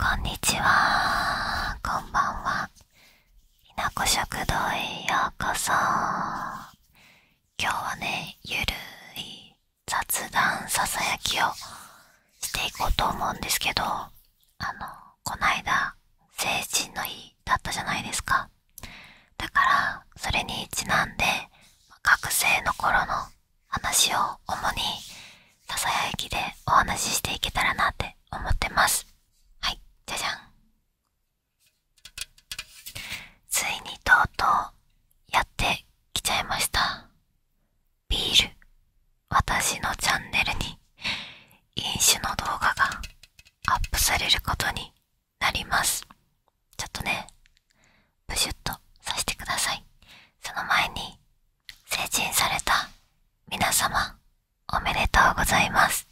こんにちは、こんばんは。ひなこ食堂へようこそ。今日はね、ゆるい雑談ささやきをしていこうと思うんですけど、あの、こないだ、成人の日だったじゃないですかだからそれにちなんで学生の頃の話を主にささやきでお話ししていけたらなって思ってますはいじゃじゃんついにとうとうやってきちゃいましたビール私のチャンネルに飲酒の動画がアップされることになります。ちょっとね、ブシュッとさしてください。その前に、成人された皆様、おめでとうございます。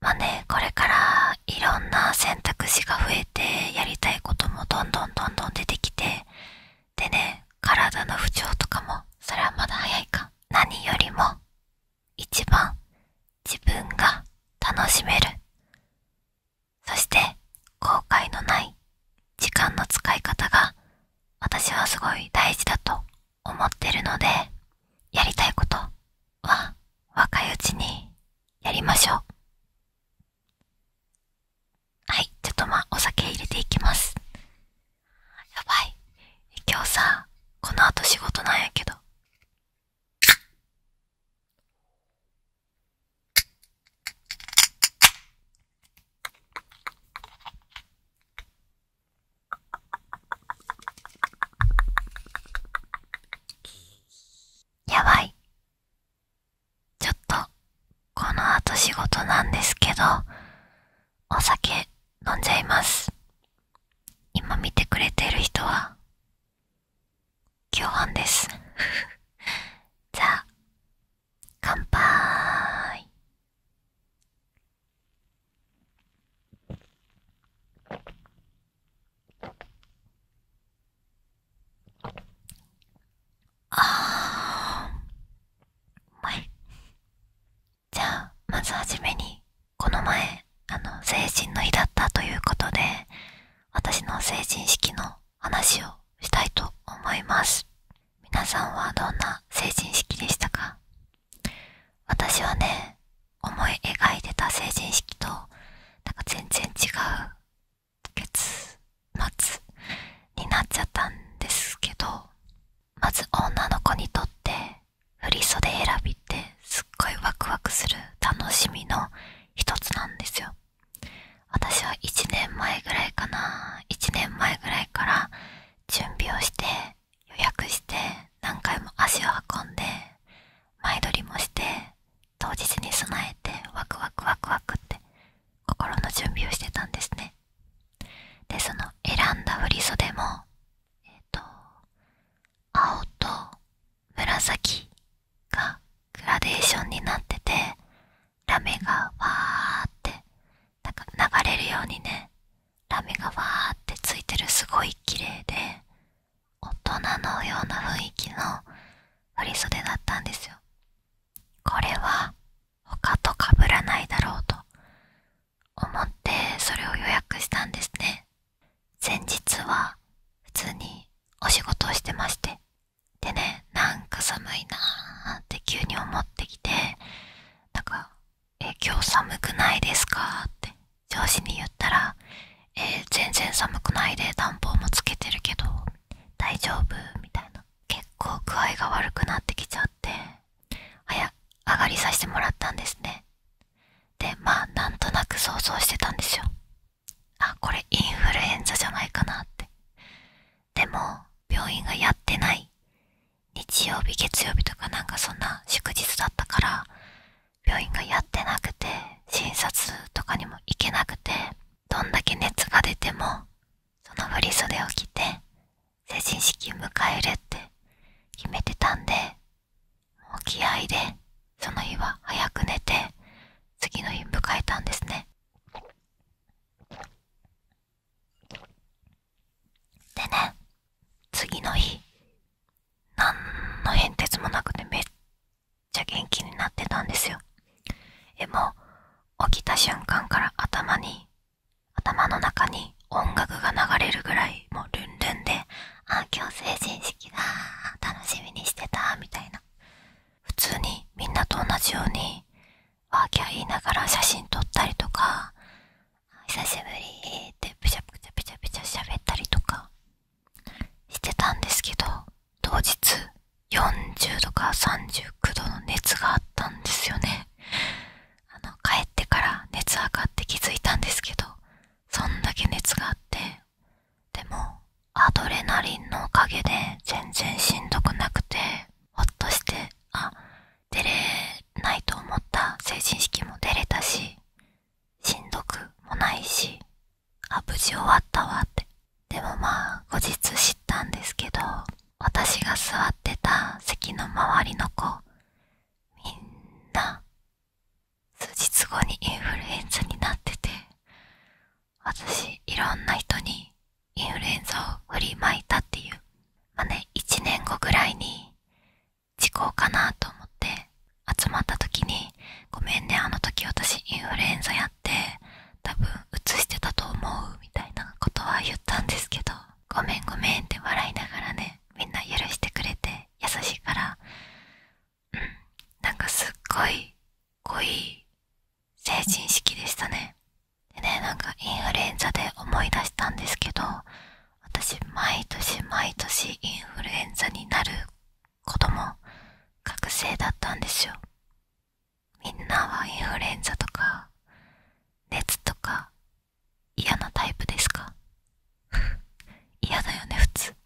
まあね、これからいろんな選択肢が増えて、やりたいこともどんどんどんどん出てきて、でね、体の不調とかも、それはまだ早いか。何よりも、一番自分が楽しめるそして後悔のない時間の使い方が私はすごい大事だと思ってるのでやりたいことは若いうちにやりましょうはいちょっとまあお酒入れていきますやばい今日さこの後仕事なんやけどやばい。ちょっと、この後仕事なんですけど、お酒飲んじゃいます。今見てくれてる人は共犯です じゃあ乾杯ああうまいじゃあまずはじめにこの前あの成人の日だったということで私の成人式の話をしたいと思います皆さんはどんな成人式でしたか私はね思い描いてた成人式となんか全然違う月末になっちゃったんですけどまず女の子にとって振り袖選びってすっごいワクワクする楽しみの一つなんですよ私は1年前ぐらいかな1年前ぐらいから準備をして予約して何回も足を運んで前撮りもして当日に備えてワクワクワクワクって心の準備をしてたんですねでその選んだ振り袖もえっ、ー、と青と紫がグラデーションになっててラメがわーってなんか流れるようにねラメがわーってついてるすごい綺麗で大人のような雰囲気の振袖だったんですよこれは他と被らないだろうと思ってそれを予約したんですね前日は普通にお仕事をしてましてでねなんか寒いなーって急に思ってきてなんか「今日寒くないですか?」って上司に言ったら「全然寒くないで暖房もつけてるけど大丈夫?」みたいな結構具合が悪くなってきちゃってあや、上がりさせてもらったんですねでまあなんとなく想像してたんですよあこれインフルエンザじゃないかなってでも病院がやってない日曜日月曜日とかなんかそんな祝日だったから病院がやってなくて診察とかにも行けなくてどんだけ熱が出てもその振り袖を着て成人式迎えるって決めてたんで沖合でその日は早く寝て次の日迎えたんですねでね次の日何の変哲もなくてめっちゃ元気になってたんですよえもう起きた瞬間から頭に頭の中に音楽が流れるぐらいもうルンルンで「あ今日成人式だ楽しみにしてた」みたいな普通にみんなと同じようにワーキャー言いながら写真撮ったりとか「久しぶり」ってプチャプチャプチャプチャ喋ったりとかしてたんですけど当日40度か39度の熱があったんですよねあの帰ってから熱上がって気づいたんですけどそんだけ熱があってでもアドレナリンのおかげで全然しんどくなくてほっとしてあ出れないと思った成人式も出れたししんどくもないしあ無事終わったわってでもまあ後日知ったんですけど私が座ってた席の周りの子みんな数日後にインフルエンザになってて私いろんな人にインフルエンザを振りまいたっていうまあね1年後ぐらいに事故かなと思って集まった時に「ごめんねあの時私インフルエンザやって多分うつしてたと思う」みたいなことは言ったんですけど「ごめんごめん」って笑いながらねみんな許してくれて優しいからうんなんかすっごい濃い成人式でしたねでねなんかインフルエンザで思い出したんですけど私毎年毎年インフルエンザになる子供学生だったんですよみんなはインフルエンザとか熱とか嫌なタイプですか 嫌だよね普通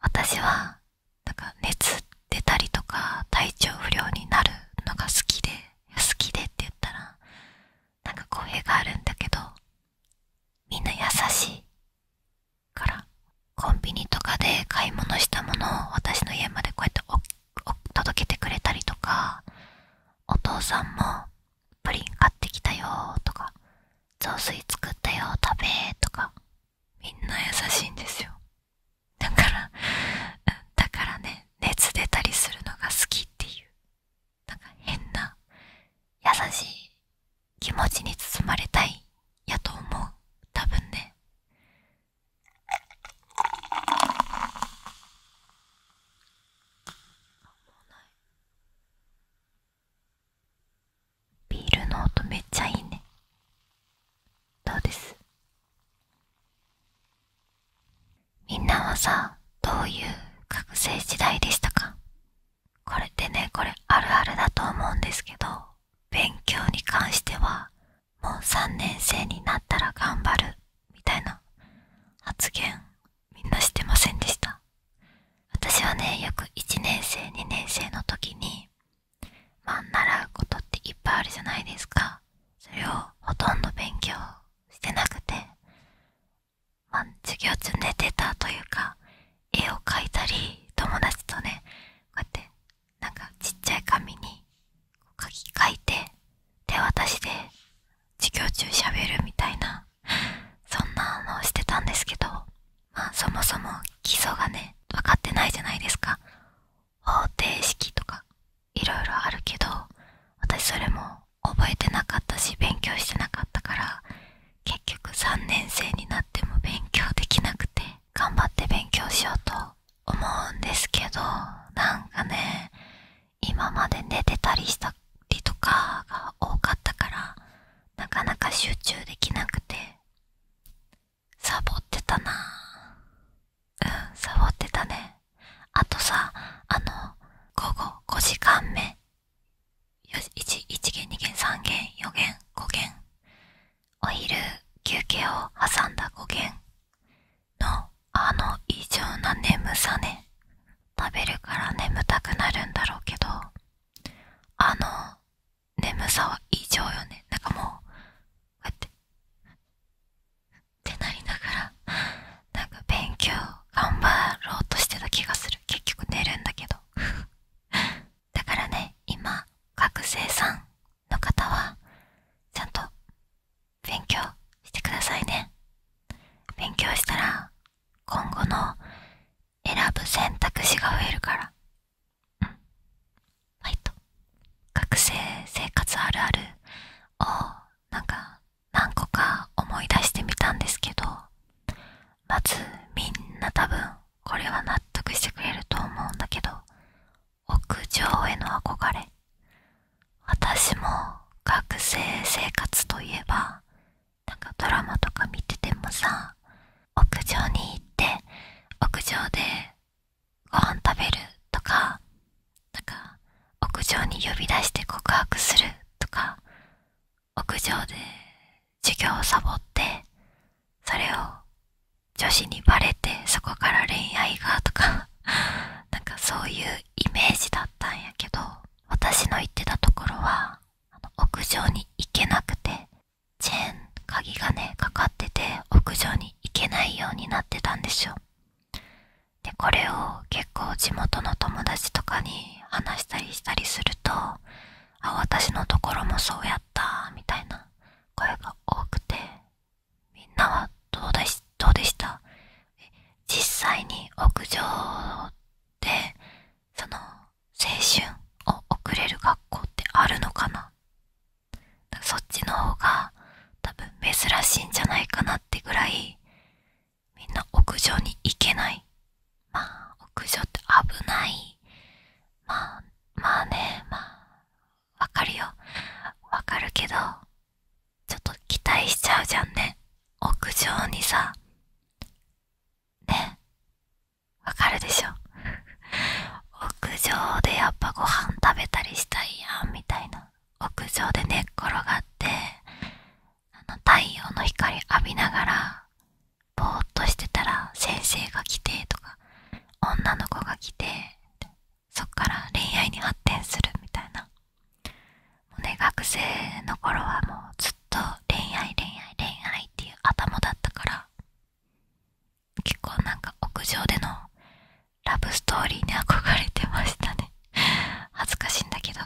私はなんか熱出たりとか体調不良になるのが好きで好きでって言ったらなんか光栄があるんだけどみんな優しいからコンビニとかで買い物したものを私の家までこうやって届けてくれたりとかお父さんもプリン買ってきたよとか雑炊作ったよ食べとかみんな優しいんですよだからだからね熱出たりするのが好きっていうなんか変な優しい気持ちに包まれたいやと思う多分ねない？ビールの音めっちゃいいねどうですみんなはさどういう学生時代でしたかこれってねこれあるあるだと思うんですけど勉強に関してはもう3年生になったら頑張るみたいな発言みんなしてませんでした私はね約1年生2年生の時にまあ習うことっていっぱいあるじゃないですかそれをほとんど勉強してなくてま授業中寝てたというか絵を描いたり友達とねこうやってなんかちっちゃい紙に書き書いて手渡しで授業中喋るみたいなそんなのをしてたんですけどまあそもそも基礎がね分かってないじゃないですか方程式とかいろいろあるけど私それも覚えてなかったし勉強してなかったから結局3年生になっても勉強できなくて頑張って勉強しようと思うんですけどなんかね今まで寝てたりしたりとかが多かったからなかなか集中できなくてサボってたなぁ…うんサボってたねあとさあの午後5時間目よし、1, 1弦、2弦、3弦、4弦、5限お昼休憩を挟んだ5弦…のあの異常な眠さね食べるから眠たくなるんだろうけどあの眠さは異常よねなんかもうこうやってってなりながらなんか勉強頑張ろうとしてた気がする結局寝るんだけどだからね今学生さんの方はちゃんと勉強してくださいね勉強したら今後の選ぶ選択肢が増えるからうんファイ学生生活あるあるをなんか何個か思い出してみたんですけどまずみんな多分これは納得してくれると思うんだけど屋上への憧れ私も学生生活といえばなんかドラマとか見ててもさ屋上に行って屋上でご飯食べるとかなんか屋上に呼び出して告白するとか屋上で授業をサボってそれを女子にバレてそこから恋愛がとか なんかそういうイメージだったんやけど私の行ってたところはあの屋上に行けなくてチェーン鍵がねかかってて屋上に行けないようになってたんですよでこれを結構地元の友達とかに話したりしたりするとあ私のところもそうやったみたいな声が多くてみんなはどうでした実際に屋上でその青春を送れる学校ってあるのかなそっちの方が多分珍しいんじゃないかなってぐらいみんな屋上に行けないまあ屋上って危ないまあまあねまあわかるよわかるけどちょっと期待しちゃうじゃんね屋上にさねわかるでしょ屋上でやっぱご飯食べたりしたいやんみたいな屋上で寝っ転がってあの太陽の光浴びながらぼーっとしてたら先生が来てとか女の子が来てそっから恋愛に発展するみたいなもうね学生の頃はもうずっと恋愛恋愛恋愛っていう頭だったから結構なんか屋上でのラブストーリーに憧れてましたね 恥ずかしいんだけどう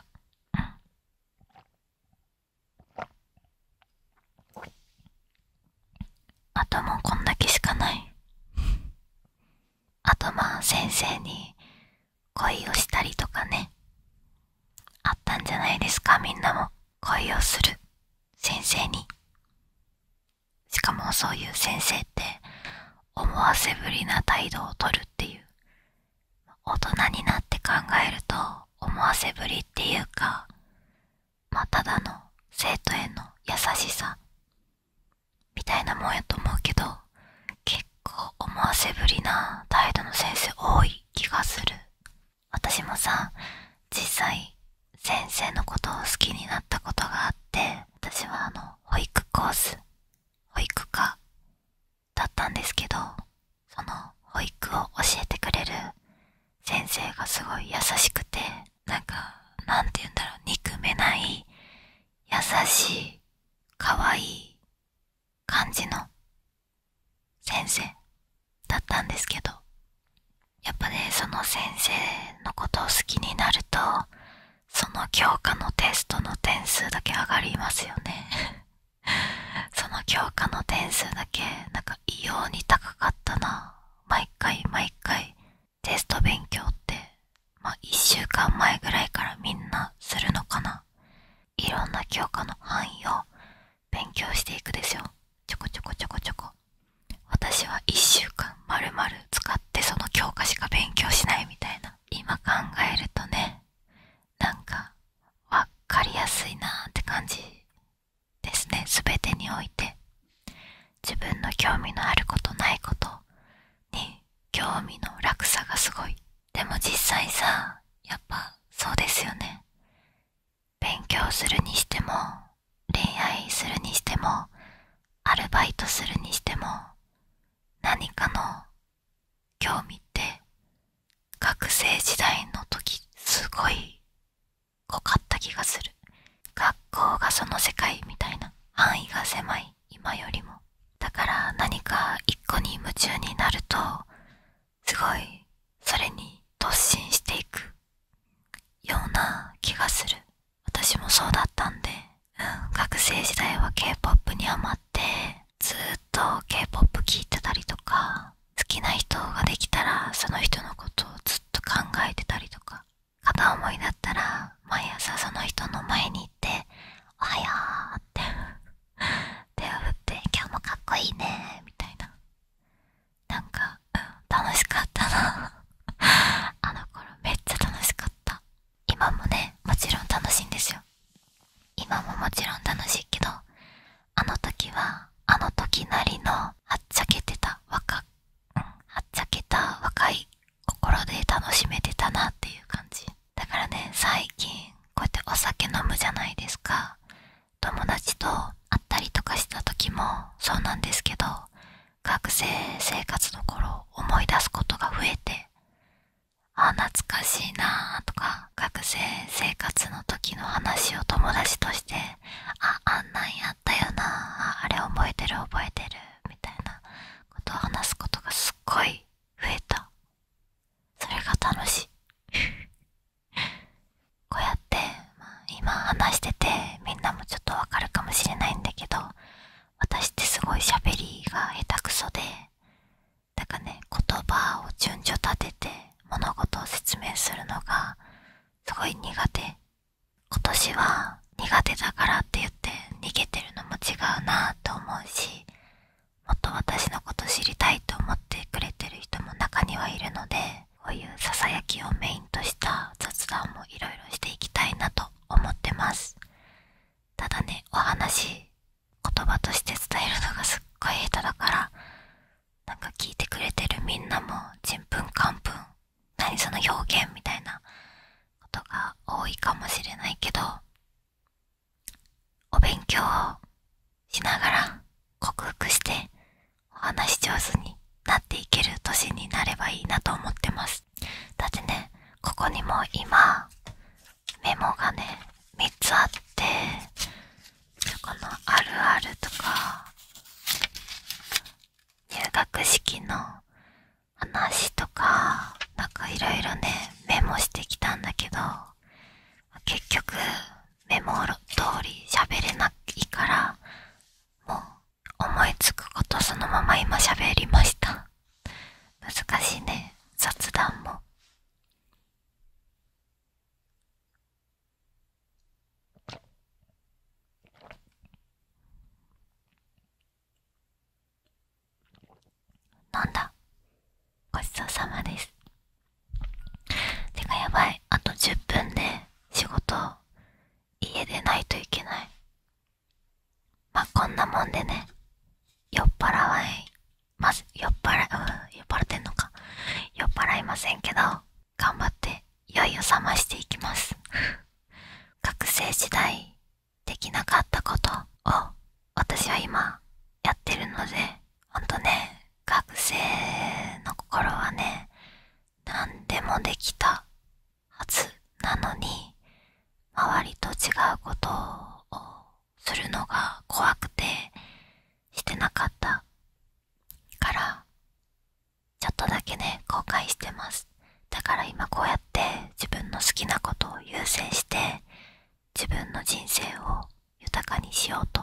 あともうこんだけしかないあとまあ先生に恋をしたりとかねあったんじゃないですかみんなも恋をする先生にしかもそういう先生って思わせぶりな態度をとるっていう大人になって考えると思わせぶりっていうかまあただの生徒への優しさみたいなもんやと思うけど結構思わせぶりな態度の先生多い気がする私もさ実際先生のことを好きになったことがあって私はあの保育コース保育科だったんですけどその保育を教えてくれる先生がすごい優しくてなんかなんて言うんだろう憎めない優しい可愛い感じの先生だったんですけどやっぱねその先生のことを好きになるとその教科のテストの点数だけ上がりますよね その教科の点数だけなんか異様に高かったな毎回毎回テスト勉強ってまあ1週間前ぐらいからみんなするのかないろんな教科の範囲を勉強していくですよちょこちょこちょこちょこ私は一週間まるまる使ってその教科しか勉強しないみたいな今考えるとねなんかわかりやすいなーって感じですねすべてにおいて自分の興味のあることないことに興味の落差がすごいでも実際さやっぱそうですよね勉強するにしても恋愛するにしてもアルバイトするにしても何かの興味って学生時代の時すごい濃かった気がする学校がその世界みたいな範囲が狭い今よりもだから何か一個に夢中になるとすごいそれに突進していくような気がする私もそうだったんで、うん、学生時代は k p o p にハマってずっと k p o p 聴いてたりとか好きな人ができたらその人のことをずっと考えてたりとか片思いだったら毎朝その人の前に行って「おはよう」って 手を振って「今日もかっこいいね」みたいななんか、うん、楽しかったな あの頃めっちゃ楽しかった今もねもちろん楽しいんですよ今ももちろん楽しいけどあの時はあの時なりのはっちゃけてた若はっちゃけた若い心で楽しめてたなっていう感じだからね最近こうやってお酒飲むじゃないですか友達と会ったりとかした時もそうなんですけど学生生活の頃思い出すことが増えてあ懐かしいなとか学生生活の時の話を友達としてああんなんややよなあれ覚えてる覚えてるみたいなことを話すことがすっごい増えたそれが楽しい こうやって、ま今話しててみんなもちょっとわかるかもしれないんだけど私ってすごい喋りが下手くそでだかね言葉を順序立てて物事を説明するのがすごい苦手今年は苦手だからって言って逃げてるのも違うなと思うしもっと私のこと知りたいと思ってくれてる人も中にはいるのでこういうささやきをメインとした雑談もいろいろしていきたいなと思ってますただねお話言葉として伝えるのがすっごい下手だからなんか聞いてくれてるみんなもちんぷんかんぷん何その表現みたいなことが多いかもしれないけどお勉強しながら克服してお話上手になっていける年になればいいなと思ってますだってねここにも今メモがね3つあってそこの「あるある」とか入学式の話とかなんかいろいろねメモしてきたんだけど結局メモ通り喋れないからもう思いつくことそのまま今喋りました難しいね雑談もなんだごちそうさまですてかやばいあと10分で仕事家でないといけないまあこんなもんでね酔っ払わいます酔っ払う酔っ払ってんのか酔っ払いませんけど頑張って酔いを覚ましていきます学生時代できなかったことを私は今やってるのでほんとね学生の心はね何でもできたはずなのに周りと違うことをするのが怖くてしてなかったからちょっとだけね後悔してますだから今こうやって自分の好きなことを優先して自分の人生を豊かにしようと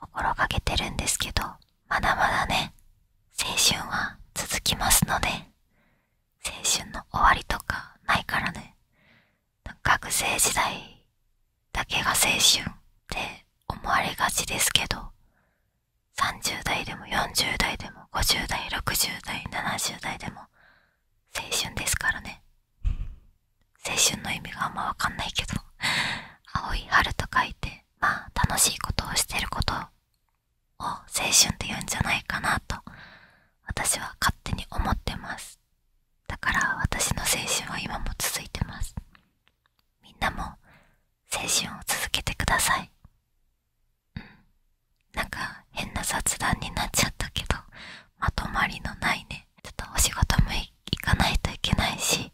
心がけてるんですけどまだまだね青春は続きますので青春の終わりとかないからね学生時代だけが青春って思われがちですけど30代でも40代でも50代60代70代でも青春ですからね青春の意味があんまわかんないけど青い春と書いてまあ楽しいことをしてることを青春って言うんじゃないかなと私は勝手に思ってますだから私の青春は今も続いてますみんなも青春を続けてくださいうんなんか変な雑談になっちゃったけどまとまりのないねちょっとお仕事も行かないといけないし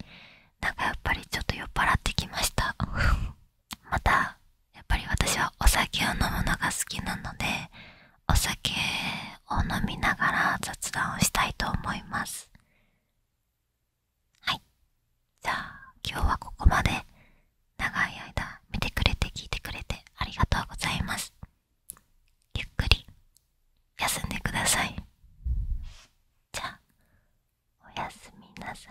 なんかやっぱりちょっと酔っ払ってきました またやっぱり私はお酒を飲むのが好きなのでお酒を飲みながら雑談をしたいと思いますはいじゃあ今日はここまで長い間見てくれて聞いてくれてありがとうございますゆっくり休んでくださいじゃあおやすみなさい